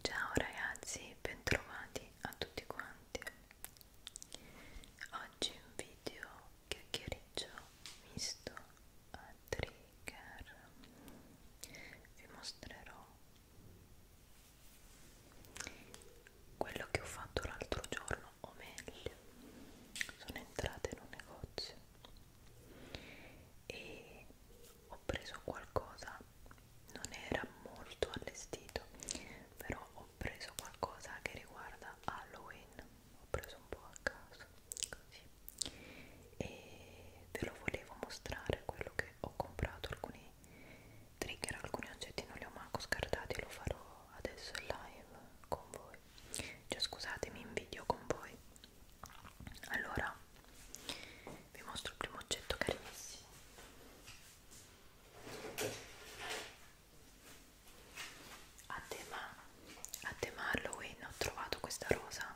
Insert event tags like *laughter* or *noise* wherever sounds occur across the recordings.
Ciao ragazzi, bentrovati a tutti quanti. Oggi un video chiacchiericcio misto a trigger. Vi mostrerò quello che ho fatto l'altro giorno, o meglio, sono entrata in un negozio e ho preso qualcosa non era molto allestito però ho ho preso qualcosa che riguarda Halloween ho preso un po' a caso così e ve lo volevo mostrare quello che ho comprato alcuni trigger alcuni oggetti non li ho manco scartati lo farò adesso in live con voi cioè scusatemi in video con voi allora vi mostro il primo oggetto carissimo a tema, a tema Halloween ho trovato questa rosa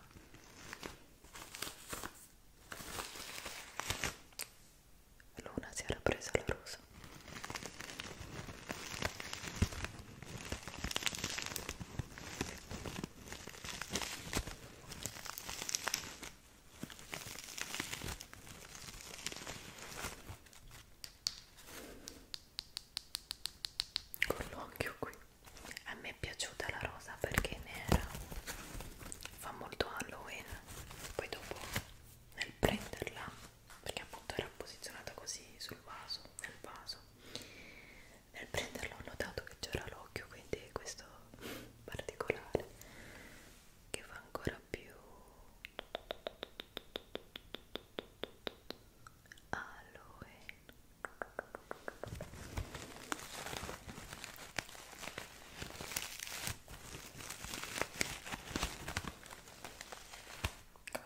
Luna si era presa la rosa con l'occhio qui a me è piaciuta la rosa perché nera fa molto Halloween poi dopo nel prenderla perché appunto era posizionata così sul vaso nel vaso nel prenderla ho notato che c'era l'occhio quindi questo particolare che fa ancora più aloe come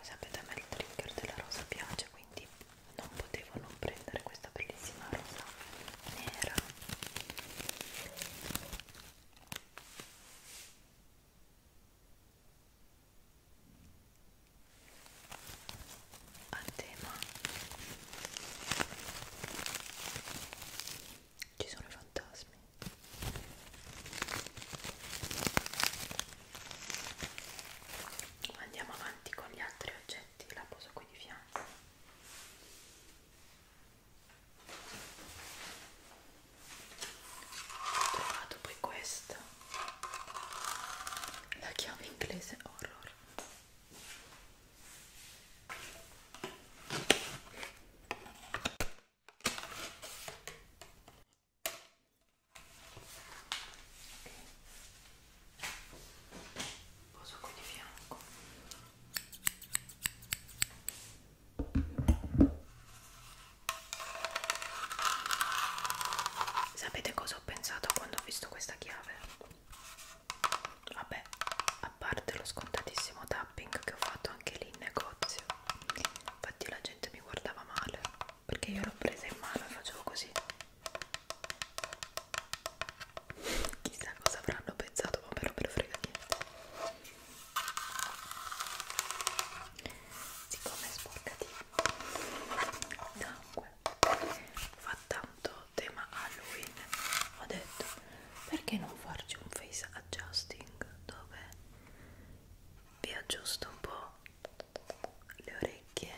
sapete a me il trigger della rosa piace quindi non potevo non prendere questa bellissima rosa nera a tema ci sono i fantasmi andiamo avanti con gli altri oggetti la poso qui di fianco ho trovato poi questa la chiave inglese horror Okay. Poso qui di fianco. Sapete cosa ho pensato quando ho visto questa chiave? Vabbè, a parte lo scontatissimo tapping che ho fatto anche lì in negozio, infatti la gente mi guardava male perché io l'ho presa in mano e facevo così. Chissà cosa avranno pensato, ma me lo frega niente siccome è sporcatino d'acqua fa tanto tema Halloween ho detto perché non farci un face adjusting dove vi aggiusto un po' le orecchie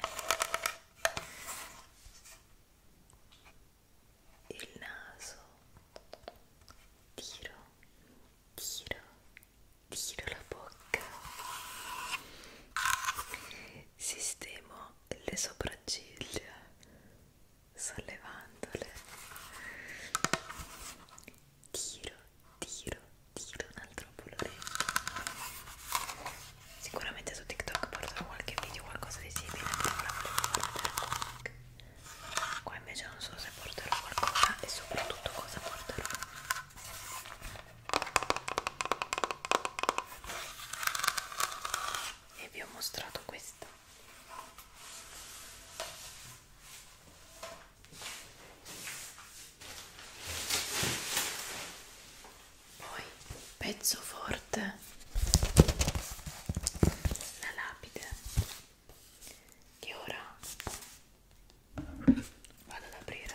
il naso tiro tiro chiudo la bocca sistemo le sopracciglia sollevandole tiro tiro tiro un altro po' l'orecchio sicuramente su tiktok porterò qualche video qualcosa di simile però la volevo vedere qua qua invece non so se porterò qualcosa e soprattutto cosa porterò e vi ho mostrato questo poi pezzo forte la lapide e ora vado ad aprire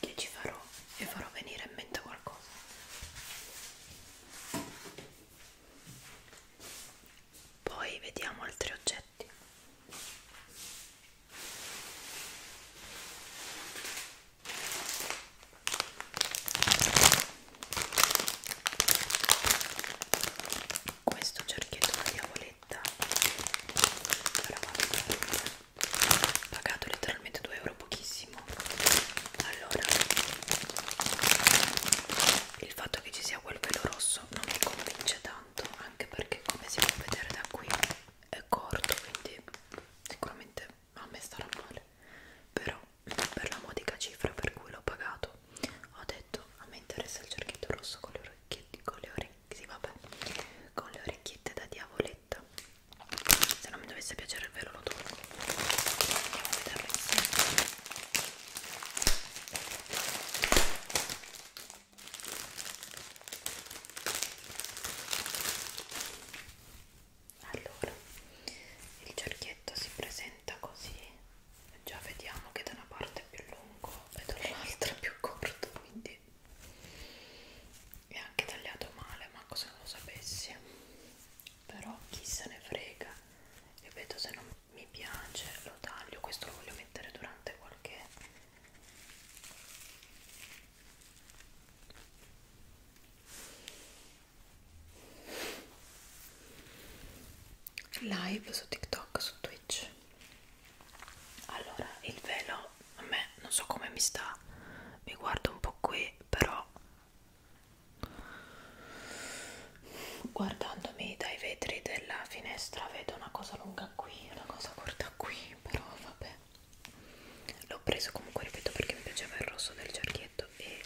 che ci farò e farò venire in mente qualcosa poi vediamo altri oggetti questo cerchietto da diavoletto maglietta ho pagato letteralmente 2 euro pochissimo allora il fatto che ci sia quel velo rosso non mi convince tanto anche perché come si può vedere da qui è corto quindi sicuramente a me starà male però per la modica cifra per cui l'ho pagato ho detto a me interessa il cerchietto rosso con le orecchiette con le orecchie sì, vabbè con le orecchiette da diavoletto se non mi dovesse piacere il velo lo tolgo andiamo a vederlo insieme allora il cerchietto si presenta così già vediamo che da una parte è più lungo e dall'altra più corto quindi così e anche tagliato male ma cosa non lo sapessi però chi se ne frega io vedo se non mi piace lo taglio questo lo voglio mettere durante qualche live su tiktok su twitch allora il velo a me non so come mi sta mi guardo un po' qui però guardandomi dai vetri della finestra vedo una cosa lunga qui una cosa corta qui però vabbè l'ho preso comunque ripeto perché mi piaceva il rosso del cerchietto e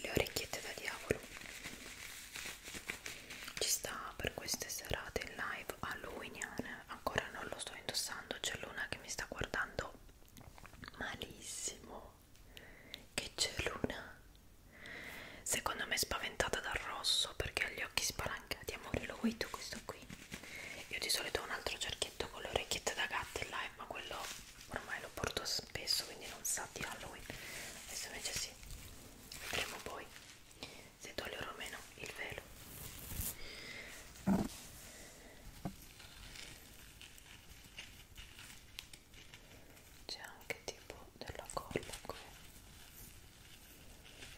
le orecchiette da diavolo ci sta per queste serate in live halloweeniane ancora non lo sto indossando c'è l'una che mi sta guardando malissimo che c'è l'una secondo me è spaventata dal rosso perché ha gli occhi spalancati amore lo vuoi tu questo qui io di solito ho un altro cerchietto con le orecchiette da gatta in live ma quello ormai lo porto spesso quindi non sa di Halloween adesso invece sì vedremo poi se toglierò o meno il velo c'è anche tipo della colla qui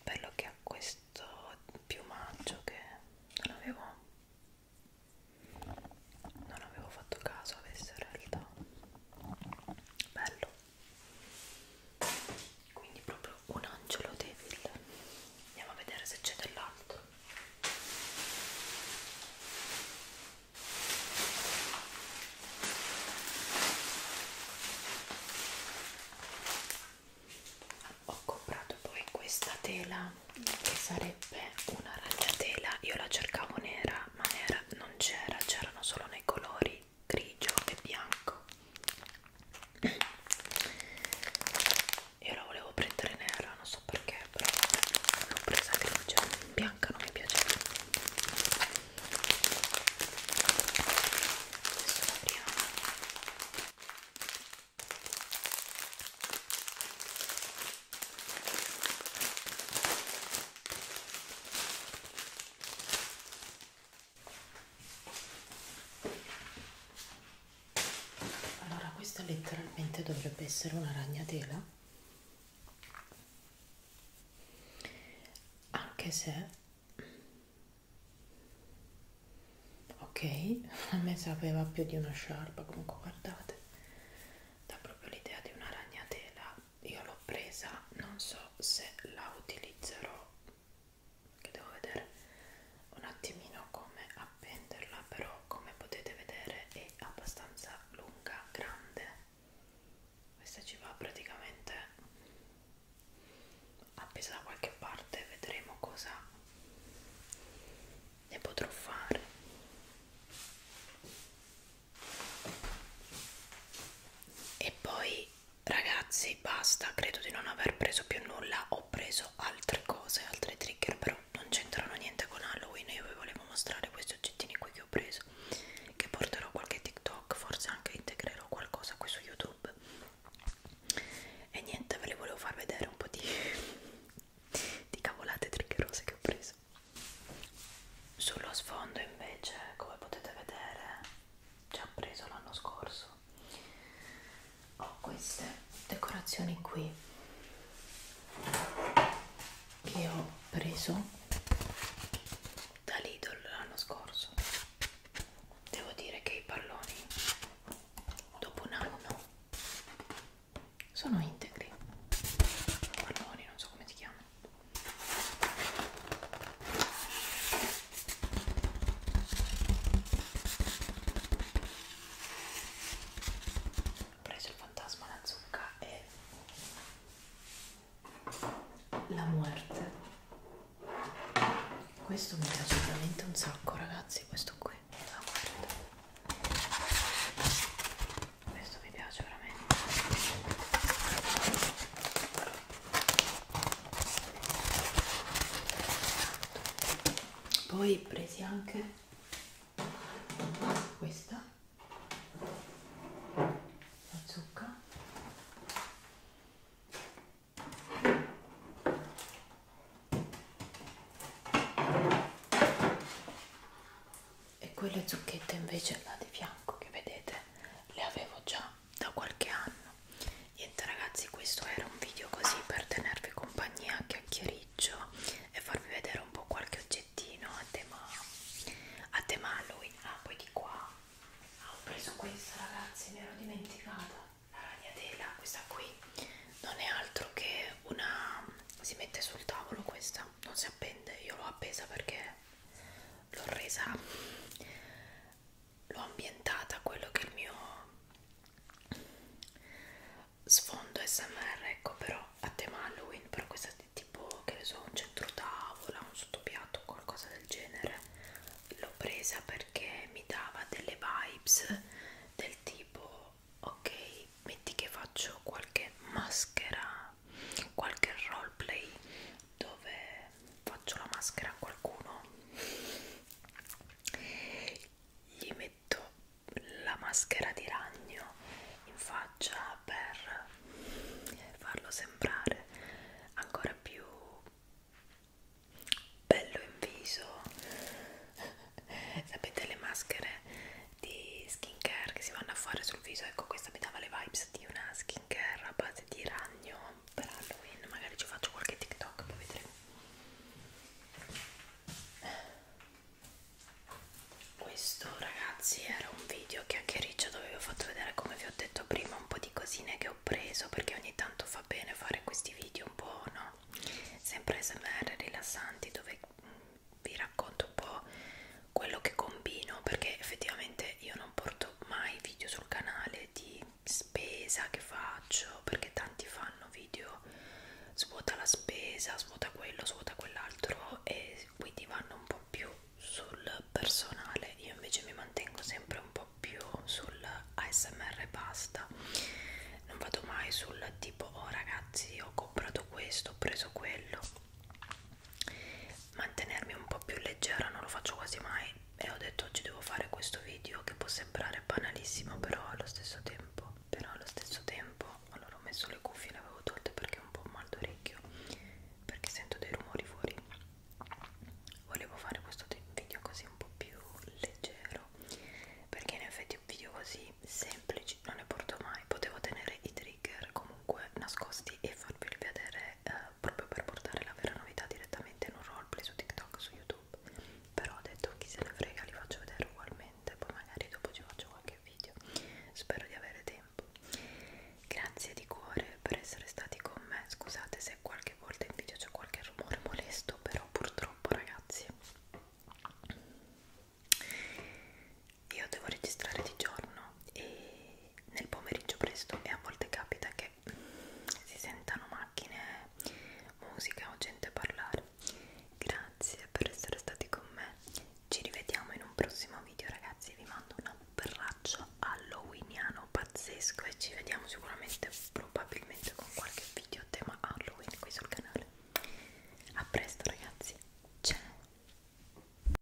bello che ha questo piumaggio che non avevo non avevo fatto caso avesse in realtà bello quindi proprio un angelo devil andiamo a vedere se c'è dell'altro ho comprato poi questa tela che sarebbe una ragnatela io la cercavo nera ma nera base non c'era, c'erano solo nei colori grigio e bianco. Io la volevo prendere nera, non so perché, però l'ho presa grigia, bianca non mi piaceva. Adesso la apriamo. Allora questa letteralmente dovrebbe essere una ragnatela, anche se ok, a me sapeva più di una sciarpa, comunque guardate, dà proprio l'idea di una ragnatela io l'ho presa non so se la utilizzerò che devo vedere un attimino come appenderla però come potete vedere è abbastanza lunga grande questa ci va praticamente appesa da qualche parte vedremo cosa ne potrò fare e poi ragazzi basta credo di non aver preso più nulla ho preso altre cose altre trigger però non c'entrano niente con Halloween io vi volevo mostrare questi oggettini qui che ho preso che porterò qualche TikTok forse anche integrerò qualcosa qui su YouTube e niente ve le volevo far vedere un po' di, *laughs* di cavolate triggerose che ho preso sullo sfondo invece come potete vedere già preso l'anno scorso ho queste decorazioni qui che ho preso da Lidl l'anno scorso devo dire che i palloni dopo un anno sono integri palloni non so come si chiamano ho preso il fantasma, la zucca e la muerte questo mi piace veramente un sacco ragazzi questo qui la muerte questo mi piace veramente poi presi anche questa la zucca e quelle zucchette invece là di fianco che vedete le avevo già da qualche anno niente ragazzi questo era un video così per tenervi compagnia a chiacchiericcio e farvi vedere un po' qualche oggettino a tema a tema Halloween ah poi di qua ah, ho preso questa ragazzi mi ero dimenticata la ragnatela questa qui non è altro che una si mette sul tavolo questa non si appende io l'ho appesa perché l'ho resa l'ho ambientata a quello che è il mio sfondo smr ecco però a tema halloween però questa è tipo che ne so un centro tavola un sottopiatto qualcosa del genere l'ho presa perché mi dava delle vibes del tipo ok metti che faccio qualche maschera qualche roleplay dove faccio la maschera a qualcuno gli metto la maschera di ragno in faccia per farlo sembrare ancora più bello in viso *laughs* sapete le maschere di skincare che si vanno a fare sul viso ecco questa mi dava le vibes di una skin skincare a base di ragno per Halloween, magari ci faccio qualche TikTok, poi vedremo. Questo ragazzi era un video chiacchiericcio dove vi ho fatto vedere come vi ho detto prima un po' di cosine che ho preso perché ogni tanto fa bene fare questi video un po' no sempre smr rilassanti dove mm, vi racconto un po' quello che combino perché effettivamente io non porto mai video sul canale di spesa che faccio perché tanti fanno video svuota la spesa svuota quello svuota quell'altro e quindi vanno un po più sul personale io invece mi mantengo sempre un po più sul ASMR e basta non vado mai sul tipo oh ragazzi ho comprato questo ho preso quello mantenermi un po' più leggera non lo faccio quasi mai e ho detto oggi devo fare questo video che può sembrare banalissimo però allo stesso tempo però allo stesso tempo allora ho messo le cuffie le avevo tolte perché ho un po' mal d'orecchio perché sento dei rumori fuori volevo fare questo video così un po' più leggero perché in effetti un video così semplice non ne porto mai potevo tenere i trigger comunque nascosti e farveli vedere eh, proprio per portare la vera novità direttamente in un roleplay su TikTok su YouTube però ho detto chi se ne frega li faccio vedere ugualmente poi magari dopo ci faccio qualche video spero di avere tempo grazie di cuore per essere stati con me scusate se qualche volta in video c'è qualche rumore molesto però purtroppo ragazzi io devo registrare di giorno e nel pomeriggio presto e a volte capita che si sentano macchine, musica o gente parlare. Grazie per essere stati con me. Ci rivediamo in un prossimo video, ragazzi. Vi mando un abbraccio halloweeniano pazzesco e ci vediamo sicuramente, probabilmente con qualche video a tema Halloween qui sul canale. A presto, ragazzi. Ciao.